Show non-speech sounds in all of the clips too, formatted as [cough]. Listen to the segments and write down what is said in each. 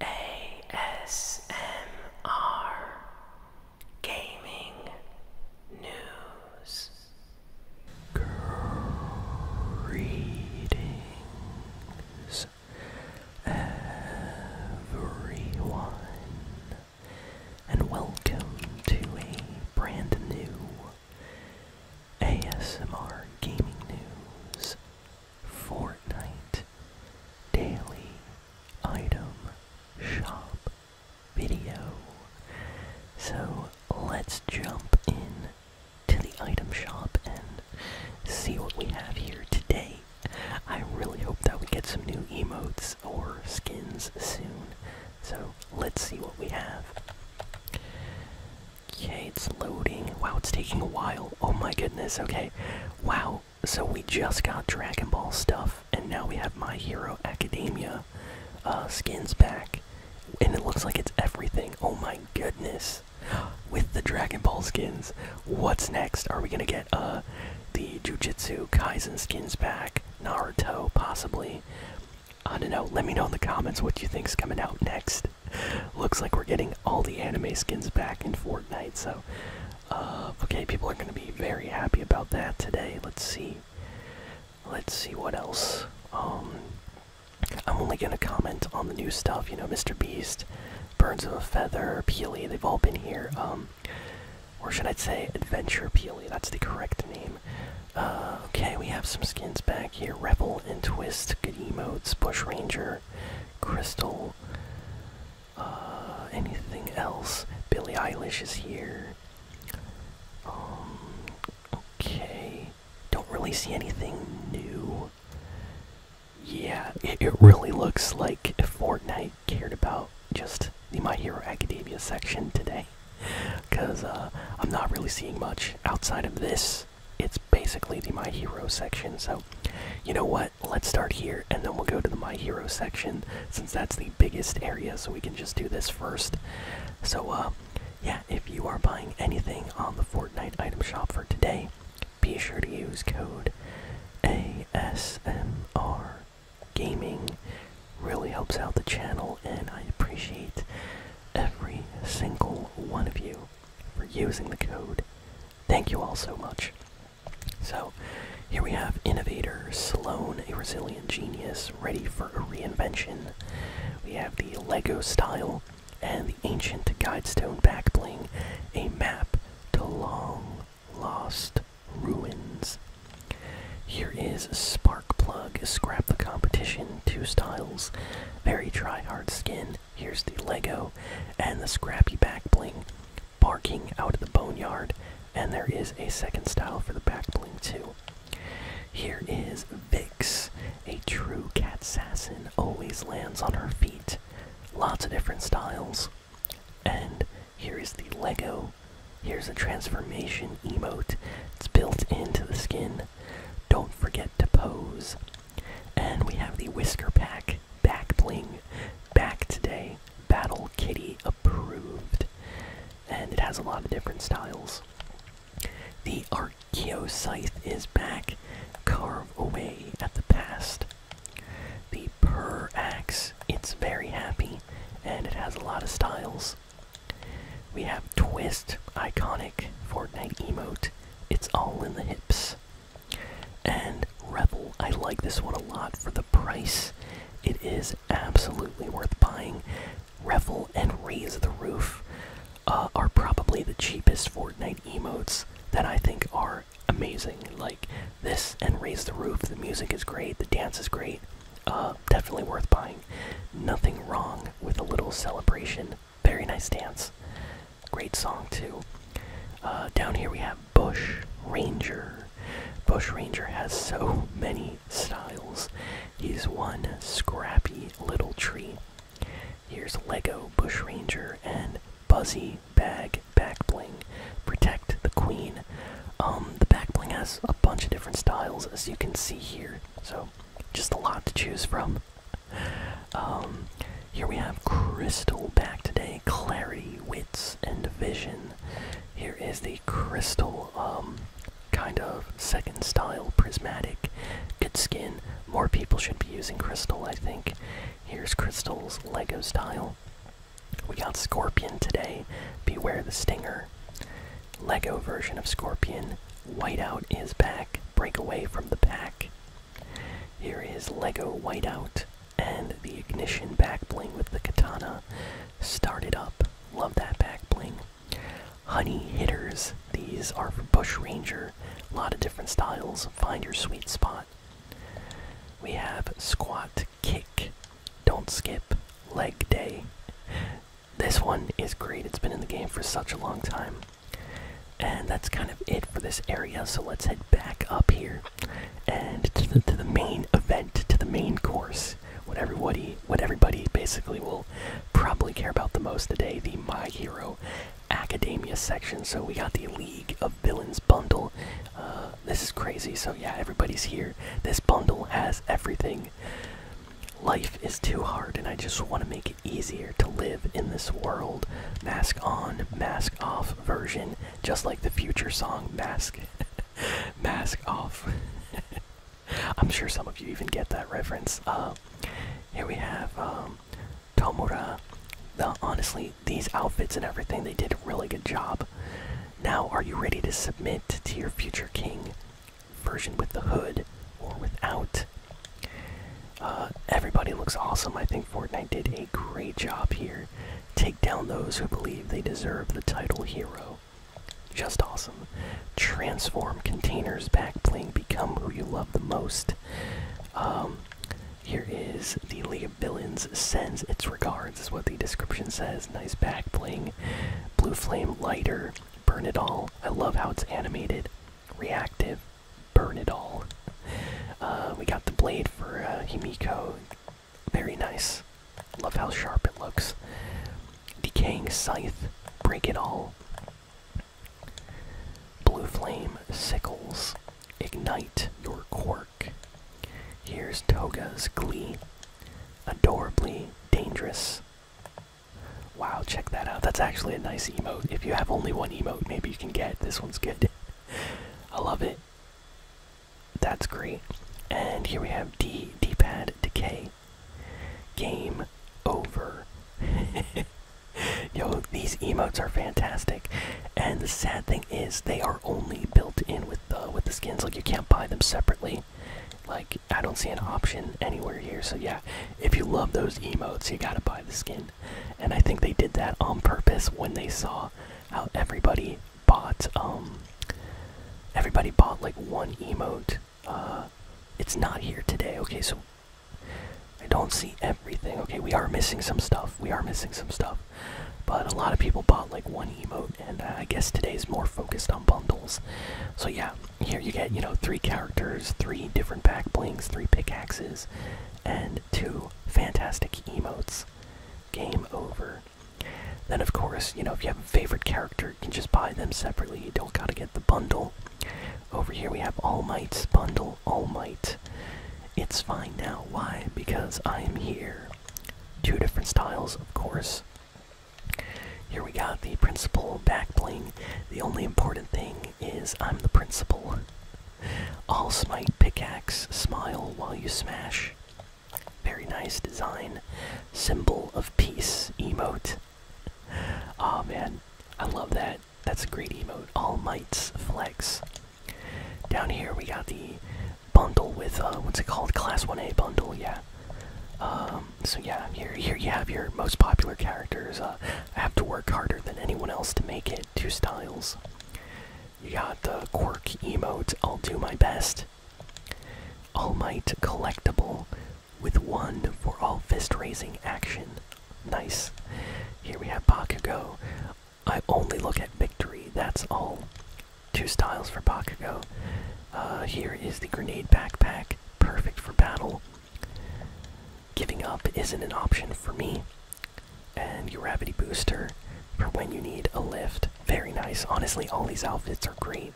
ASMR Gaming News Greetings everyone and welcome to a brand new ASMR Gaming News Fortnite Daily Item Shop video. So let's jump in to the item shop and see what we have here today. I really hope that we get some new emotes or skins soon. So let's see what we have. Okay, it's loading. Wow, it's taking a while. Oh my goodness, okay. Wow, so we just got Dragon Ball stuff, and now we have My Hero Academia uh, skins back. And it looks like it's everything. Oh my goodness. [gasps] With the Dragon Ball skins. What's next? Are we gonna get uh, the Jujutsu Kaisen skins back? Naruto, possibly? I don't know. Let me know in the comments what you think is coming out next. [laughs] Looks like we're getting all the anime skins back in Fortnite, so uh, okay, people are going to be very happy about that today. Let's see. Let's see what else. Um, I'm only going to comment on the new stuff. You know, Mr. Beast, Birds of a Feather, Peely, they've all been here. Um, or should I say Adventure Peely? That's the correct name. Uh, okay, we have some skins back here. Rebel and Twist, good emotes, Bush Ranger, Crystal. Uh, anything else? Billie Eilish is here. Um, okay. Don't really see anything new. Yeah, it, really looks like Fortnite cared about just the My Hero Academia section today. Because uh, I'm not really seeing much outside of this it's basically the My Hero section. So, you know what? Let's start here and then we'll go to the My Hero section since that's the biggest area, so we can just do this first. So, uh, yeah, if you are buying anything on the Fortnite item shop for today, be sure to use code ASMR Gaming. Really helps out the channel, and I appreciate every single one of you for using the code. Thank you all so much. So, here we have Innovator Sloan, a resilient genius ready for a reinvention. We have the Lego style and the ancient guidestone back bling, a map to long lost ruins. Here is Spark Plug, scrap the competition, two styles, very dry, hard skin, Here's the Lego and the Scrappy back bling barking out of the boneyard. And there is a second style for the back bling, too. Here is Vix. A true cat assassin always lands on her feet. Lots of different styles. And here is the Lego. Here's a transformation emote. It's built into the skin. Don't forget to pose. And we have the Whisker Pack Back Bling Back Today Battle Kitty Approved. And it has a lot of different styles. The Archeo Scythe is back. Carve away at the past. The Purr Axe, it's very happy and it has a lot of styles. We have Twist, iconic Fortnite emote. It's all in the hips. And Revel, I like this one a lot for the price. It is absolutely worth buying. Revel and Raise the Roof uh, are probably the cheapest Fortnite emotes that I think are amazing. Like this and Raise the Roof, the music is great, the dance is great. Uh, definitely worth buying. Nothing wrong with a little celebration very nice dance. Great song, too. Uh, down here we have Bush Ranger. Bush Ranger has [laughs] so many styles. He's one scrappy little tree. Here's Lego Bush Ranger and Buzzy Bag Back Bling. Protect the Queen. Um, the back bling has a bunch of different styles, as you can see here. So just a lot to choose from. Um, here we have Crystal back today. Clarity, Wits, and Vision. Here is the Crystal, um, kind of second style prismatic. Good skin. More people should be using Crystal, I think. Here's Crystal's Lego style. We got Scorpion today. Beware the Stinger. Lego version of Scorpion. Whiteout is back. Break away from the pack. Here is Lego Whiteout and the ignition back bling with the katana. Started up. Love that back bling. Honey hitters. These are for Bush Ranger. A lot of different styles. Find your sweet spot. We have squat, kick, don't skip, leg day. This one is great. It's been in the game for such a long time. And that's kind of it for this area, so let's head back up here and to the, main event, to the main course. What everybody, what everybody basically will probably care about the most today, the My Hero Academia section. So we got the League of Villains bundle. Uh, this is crazy. So yeah, everybody's here. This bundle has everything. Life is too hard, and I just want to make it easier to live in this world. Mask on, mask off version, just like the future song, Mask, [laughs] Mask Off. [laughs] I'm sure some of you even get that reference. Uh, here we have um, Tomura. honestly, these outfits and everything, they did a really good job. Now, are you ready to submit to your future king? version with the hood or without. Uh, everybody looks awesome. I think Fortnite did a great job here. Take down those who believe they deserve the title hero. Just awesome. Transform containers back bling. Become who you love the most. Um, here is the League of Villains sends its regards, is what the description says. Nice back bling. Blue flame lighter. Burn it all. I love how it's animated reactive, burn it all. Uh, we got the blade for uh, Himiko. Very nice. Love how sharp it looks. Decaying scythe, break it all. Blue flame sickles, ignite your quirk. Here's Toga's glee, adorably dangerous. Wow, check that out. That's actually a nice emote. If you have only one emote, maybe you can get this one's good. I love it. That's great. And here we have D D pad decay. Game over. [laughs] Yo, these emotes are fantastic. And the sad thing is they are only built in with the with the skins. Like you can't buy them separately. Like I don't see an option anywhere here. So yeah, if you love those emotes, you gotta buy the skin. And I think they did that on purpose when they saw how everybody bought um everybody bought like one emote. Uh it's not here today. Okay, so I don't see everything. Okay, we are missing some stuff. We are missing some stuff. But a lot of people bought like one emote, and uh, I guess today's more focused on bundles. So yeah, here you get, you know, three characters, three different back blings, three pickaxes, and two fantastic emotes. Game over. Then, of course, you know, if you have a favorite character, you can just buy them separately. You don't gotta get the bundle. Over here we have All Might's bundle, All Might. It's fine now. Why? Because I am here. Two different styles, of course. Here we got the principal back The only important thing is I'm the principal. All smite pickaxe, smile while you smash. Very nice design. Symbol of peace emote. Aw oh, man, I love that. That's a great emote. All mites flex. Down here we got the bundle with uh, what's it called? Class 1A bundle, yeah. Um, so yeah, here here you have your most popular characters. Uh, I have to work harder than anyone else to make it. Two styles. You got the quirk emote. I'll do my best. All Might collectible, with one for all fist raising action. Nice. Here we have Bakugo. I only look at victory. That's all. Two styles for Bakugo. Uh, here is the grenade backpack, perfect for battle. Giving up isn't an option for me. And Gravity Booster for when you need a lift. Very nice. Honestly, all these outfits are great.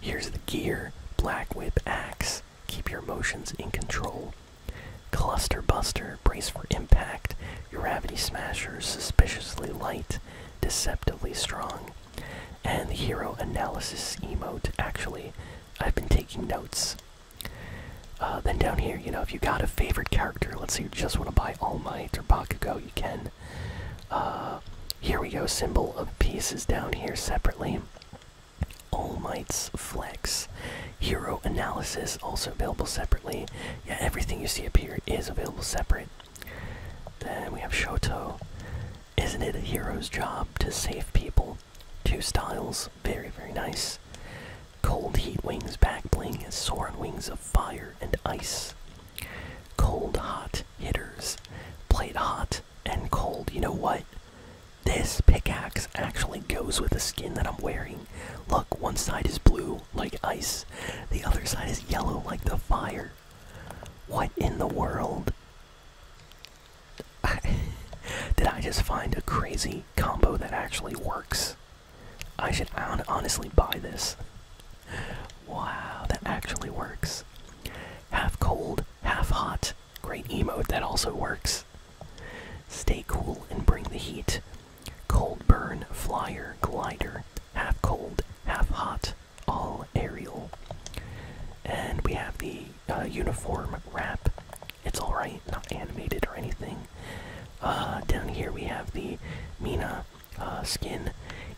Here's the gear Black Whip Axe. Keep your motions in control. Cluster Buster, brace for impact. Gravity Smasher, suspiciously light, deceptively strong. And the hero analysis emote, actually, I've been taking notes. Uh, then down here, you know, if you got a favorite character, let's say you just want to buy All Might or Bakugo, you can. Uh, here we go, symbol of peace is down here separately. All Might's Flex. Hero Analysis, also available separately. Yeah, everything you see up here is available separate. Then we have Shoto. Isn't it a hero's job to save people? Two styles, very, very nice. Cold heat wings back bling, is soaring wings of fire and ice. Cold hot hitters, played hot and cold. You know what? This pickaxe actually goes with the skin that I'm wearing. Look, one side is blue like ice, the other side is yellow like the fire. What in the world? [laughs] Did I just find a crazy combo that actually works? I should honestly buy this. Wow, that actually works. Half cold, half hot. Great emote, that also works. Stay cool and bring the heat. Cold burn, flyer, glider. Half cold, half hot all aerial. And we have the uh, uniform wrap. It's alright, not animated or anything. Uh, down here we have the Mina uh, skin.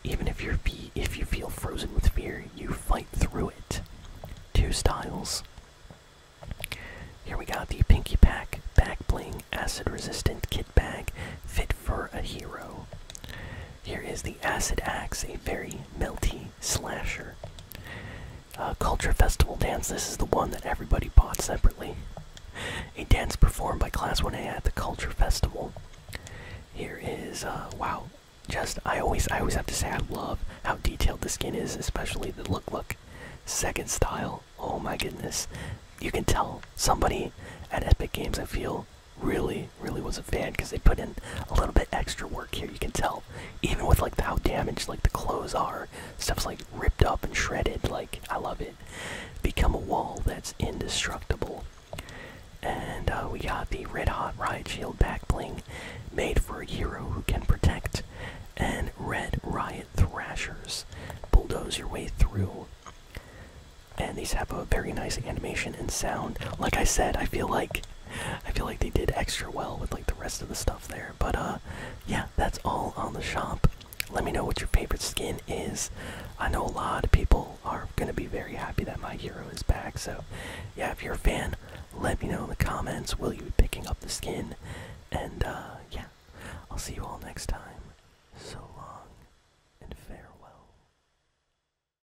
Even if your feet, if you feel frozen with fear, you fight through it. Two styles. Here we got the Pinky Pack Back Bling Acid Resistant Kit Bag, fit for a hero. Here is the Acid Axe, a very melty slasher. Uh, Culture Festival Dance, this is the one that everybody bought separately. A dance performed by Class 1A at the Culture Festival. Here is, uh, wow, just, I always, I always have to say I love how detailed the skin is, especially the look look. Second style, oh my goodness. You can tell somebody at Epic Games, I feel, really, really was a fan because they put in a little bit extra work here. You can tell, even with like how damaged like the clothes are, stuff's like ripped up and shredded. Like I love it. Become a wall that's indestructible. And uh, we got the Red Hot Riot Shield back bling, made for a hero who can protect. And Red Riot Thrashers, bulldoze your way through. And these have a very nice animation and sound. Like I said, I feel like I feel like they did extra well with like the rest of the stuff there. But uh yeah, that's all on the shop. Let me know what your favorite skin is. I know a lot of people are gonna be very happy that my hero is back. So yeah, if you're a fan, let me know in the comments. Will you be picking up the skin? And uh yeah, I'll see you all next time. So long and farewell.